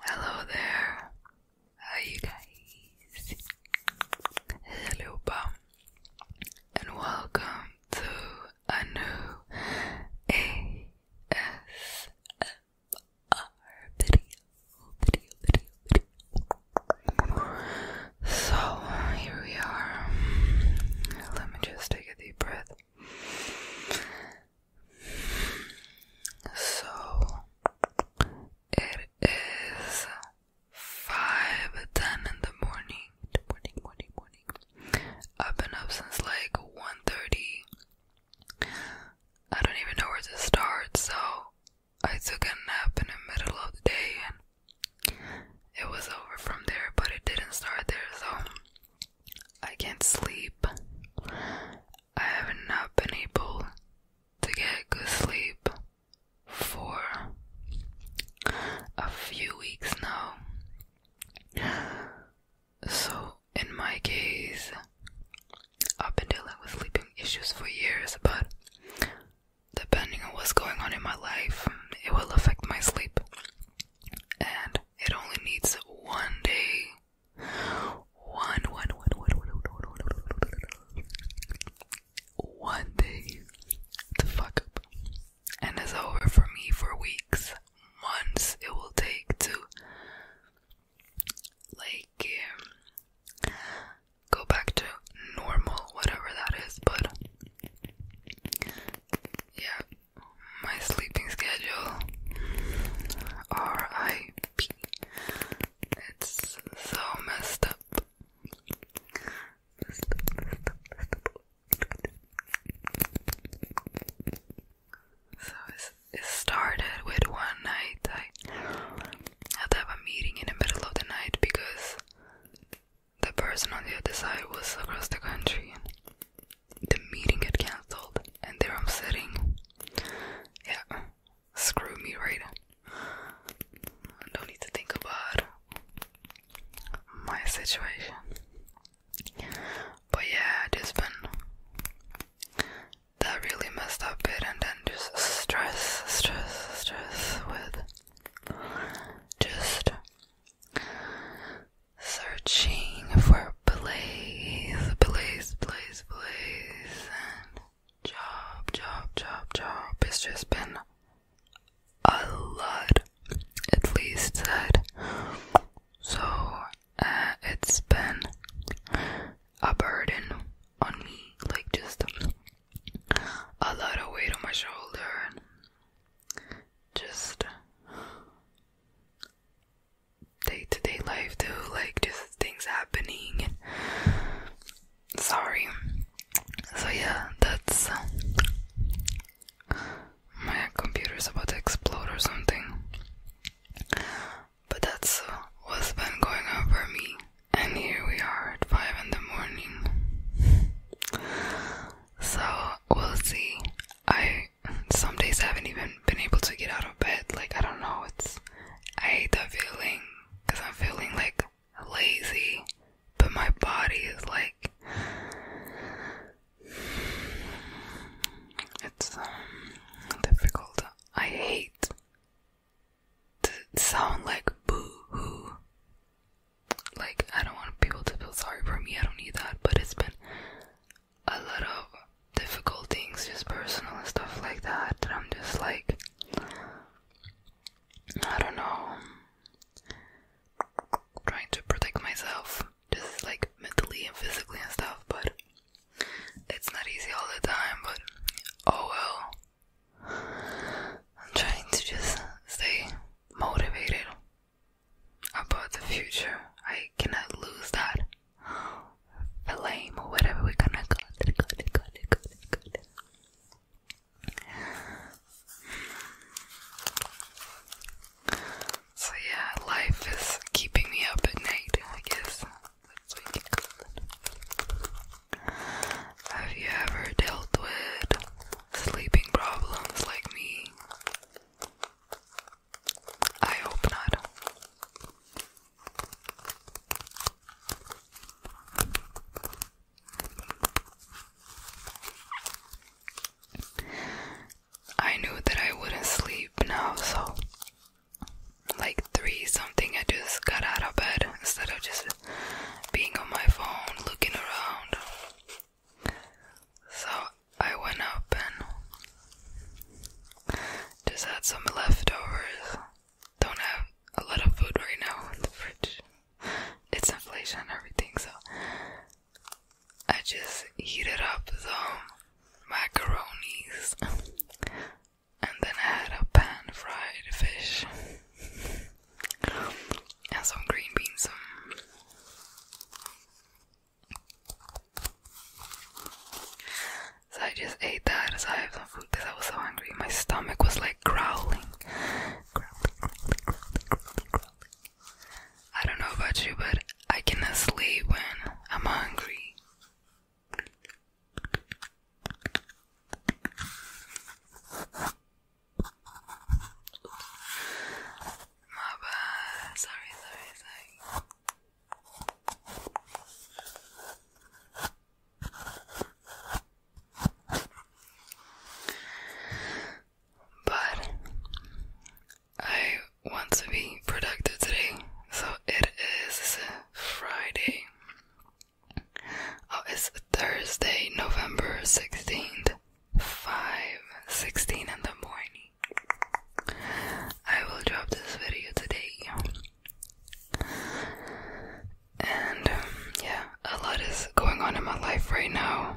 Hello there. Hi you guys. Hello Bum and welcome to a new ASMR so here we are. Let me just take a deep breath. So it is five ten in the morning. Morning, uh, morning, morning. I've been up since like 1.30. I don't even know where to start, so I took a nap in the middle of the day and it was over from there, but it didn't start there, so I can't sleep. I have not been able to get good sleep for a few weeks now. So, in my case, I've been dealing with sleeping issues for years, but depending on what's going on in my life, it will affect my sleep. And it only needs one day. One, one, one, one, one, one, one, one, one day to fuck up. And it's over for me for weeks, months it will take to like go back to normal, whatever that is. But yeah, my sleeping schedule, RIP, it's so messed up it started with one night I had to have a meeting in the middle of the night because the person on the other side was across the country. The meeting got cancelled, and there I'm sitting. Yeah, screw me, right? I don't need to think about my situation. But yeah, it just been that really messed up it and then just stress, stress, stress with just searching for place, place, place, place, and job, job, job, job. It's just been a lot, at least said. So uh, it's been a burden on me, like just a lot of weight on my shoulder, just day to day life too, like just things happening. Sorry. So yeah, that's uh, my computer's about to explode or something but that's what's been going on for me. And here we are at 5 in the morning. so we'll see. I some days I haven't even been able to get out of bed. Like I don't know. It's I hate the feeling because I'm feeling like lazy, but my body is like it's um, difficult. I hate sound like boo hoo. Like, I don't want people to feel sorry for me, I don't need that, but it's been a lot of difficult things, just personal and stuff like that. That I'm just like, I don't know, trying to protect myself, just like mentally and physically and stuff, but it's not easy all the time, but oh well. I'm trying to just stay motivated about the future. I cannot lose that flame or whatever we're gonna call it. Call it, call it, call it, call it. So yeah, life is keeping me up at night, I guess. Have you ever dealt with sleeping problems like me? I hope not. I knew that I wouldn't sleep now, so like three something I just got out of bed instead of just being on my phone looking around. So I went up and just had some leftovers. Don't have a lot of food right now in the fridge. It's inflation and everything, so I just heated up some macaroni and then I had a pan fried fish and some green beans. So I just ate that. So I have some food because I was so hungry. My stomach was like growling. I don't know about you, but I can't sleep when I'm hungry. My bad. Sorry, sorry, sorry. But I want to be productive today, so it is Friday. Oh, it's Thursday, November 16th, 5:16 in the morning. I will drop this video today. And um, yeah, a lot is going on in my life right now.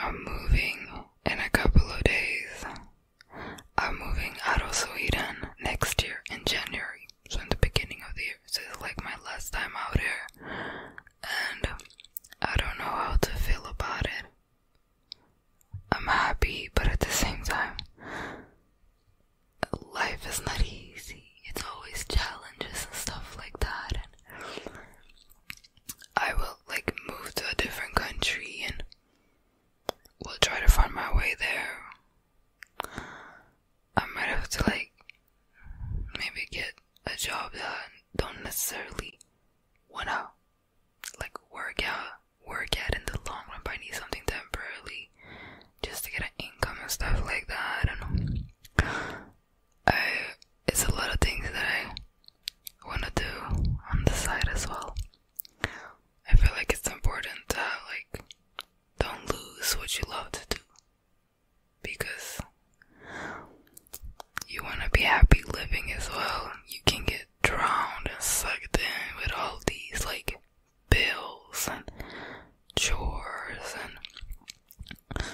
I'm moving in a couple of days. I'm moving out of Sweden next year in January so in the beginning of the year. This is like my last time out here, and I don't know how to feel about it. I'm happy, but at the same time, life is not easy. It's always challenges and stuff like that. I will like move to a different country and will try to find my way there. I might have to like maybe get a job that I don't necessarily wanna like work out work out in the long run but I need something temporarily just to get an income and stuff like that. I don't know. I it's a lot of things that I wanna do on the side as well. I feel like it's important to like don't lose what you love to do because you want to be happy living as well. You can get drowned and sucked in with all these like bills and chores and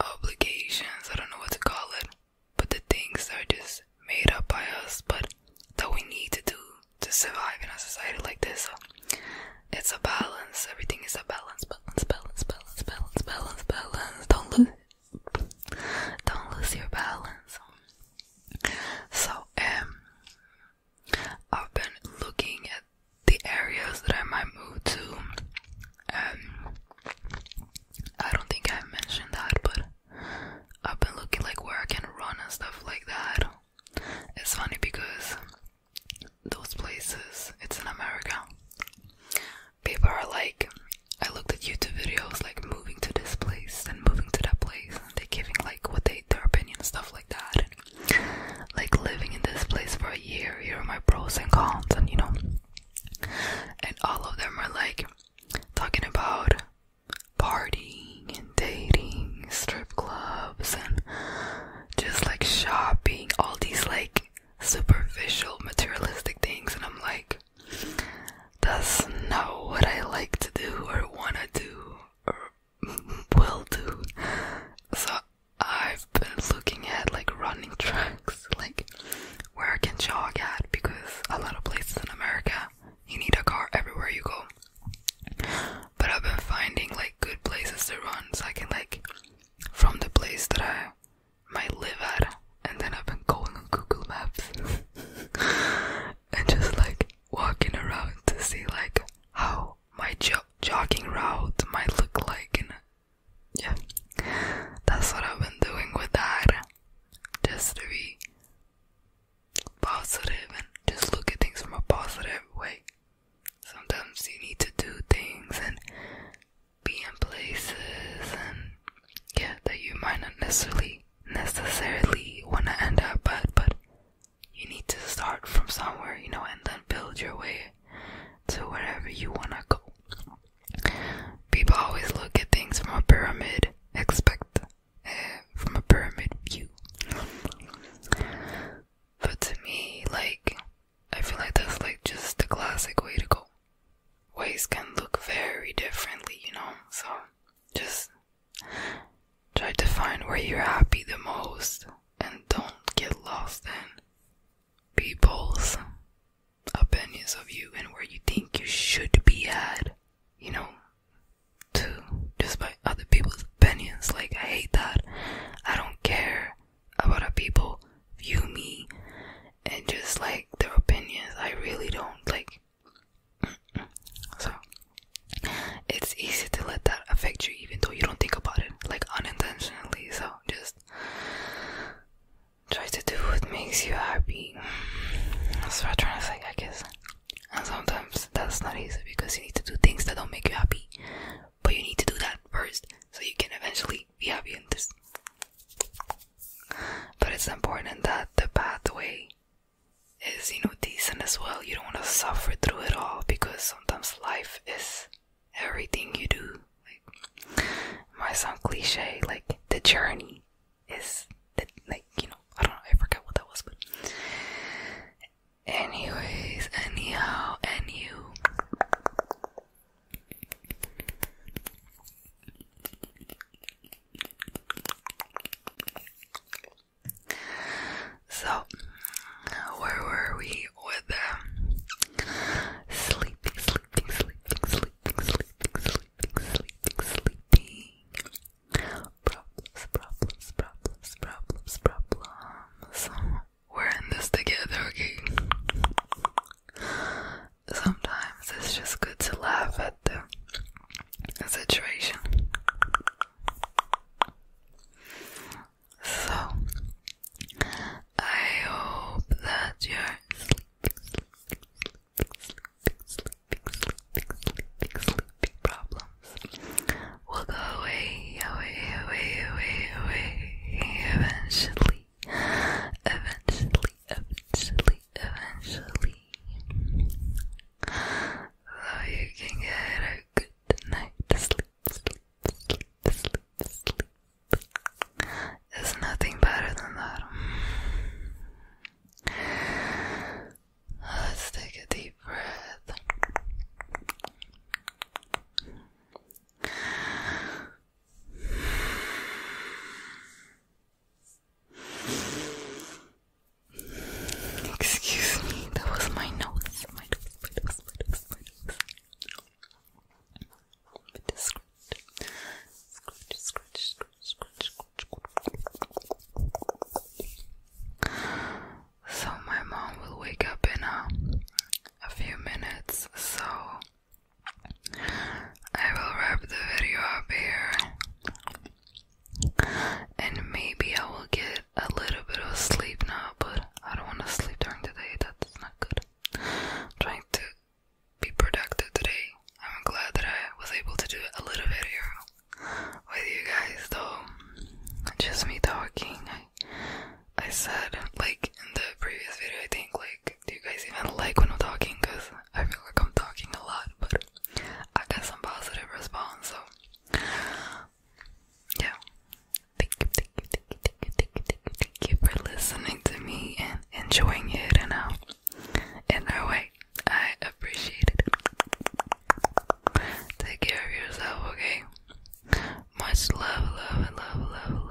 obligations. I don't know what to call it, but the things that are just made up by us, but that we need to do to survive in a society like this. So it's a balance. Everything is a balance. Balance. Balance. Balance. Balance. Balance. Balance. Don't lose. Don't lose your balance. So um, I've been looking at the areas that I might move to. Um, I don't think I mentioned that, but I've been looking like where I can run and stuff like that. It's funny because those places, it's in America. People are like, I looked at YouTube videos like moving to this place and moving to that place, they're giving like what they their opinion stuff like that. like living in this place for a year, here are my pros and cons, and you know, and all of them are like talking about partying and dating, strip clubs, and just like shopping, all these like superficial, materialistic things. And I'm like, that's not what I like to do, or want to do, or will do. So I've been looking at like running tracks, like where I can jog at because a lot of places in America you need a car everywhere you go. But I've been finding like good places to run so I can like from the place that I might live at and then I've been going on Google Maps and just like walking around to see like how my jo jogging route might look like and yeah that's what I've been doing with that just to be positive and just look at things from a positive way. Sometimes you need to do things and be in places and yeah that you might not necessarily necessarily want to end up at, but you need to start from somewhere, you know, and then build your way to wherever you want to go. People always look at things from a pyramid, expect from a pyramid view. But to me, like, I feel like that's like just the classic way to go. Ways can look very differently, you know? So just try to find where you're happy the most and don't get lost in people's opinions of you and where you think you should be at, you know? to just by other people's opinions. Like, I hate that. I don't care about how people view me and just like their opinions. I really don't like. So, it's easy to let that affect you even though you don't think about it, like unintentionally. So, just try to do what makes you happy. That's what I'm trying to say, I guess. And sometimes that's not easy because you need to do things that don't make you happy. But you need to do that first so you can eventually be happy in this. But it's important that the pathway is, you know, decent as well. You don't want to suffer through it all because sometimes life is everything you do. Like, might sound cliche, like the journey is, the, like, you know, I don't know, I forgot what that was, but Anyways, anyhow, and you. So, where were we with them? Sleeping, sleeping, sleeping, sleeping, sleeping, sleeping, sleeping, sleeping. Problems, problems, problems, problems, problems. We're in this together, okay? Sometimes it's just good to laugh at the situation. So, I hope that you're sleeping, sleeping, sleeping, sleeping, sleeping, sleeping, sleeping problem will go away, away, away, away, away, eventually, eventually, eventually, eventually. Though you can get a good night sleep, sleep, sleep, sleep, sleep. There's nothing better than that. Let's take a deep breath. Excuse me, that was my nose. So my mom will wake up in uh, a, few minutes, so I will wrap the video up here. And maybe I will get a little bit of sleep now, but I don't want to sleep during the day, that's not good. trying to be productive today. I'm glad that I was able to do a little video with you guys though. Just me talking. I, I said, like in the previous video, I think, like, do you guys even like when I'm talking? Because I feel like I'm talking a lot, but I got some positive response, so. Yeah. Thank you, thank you, thank you, thank you, thank you, thank you, for listening to me and enjoying it and how uh, in our way. I appreciate it. Take care of yourself, okay? Much love, love, love, love, love.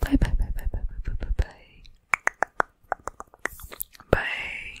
bye, bye, bye, bye, bye, bye, bye, bye. Bye.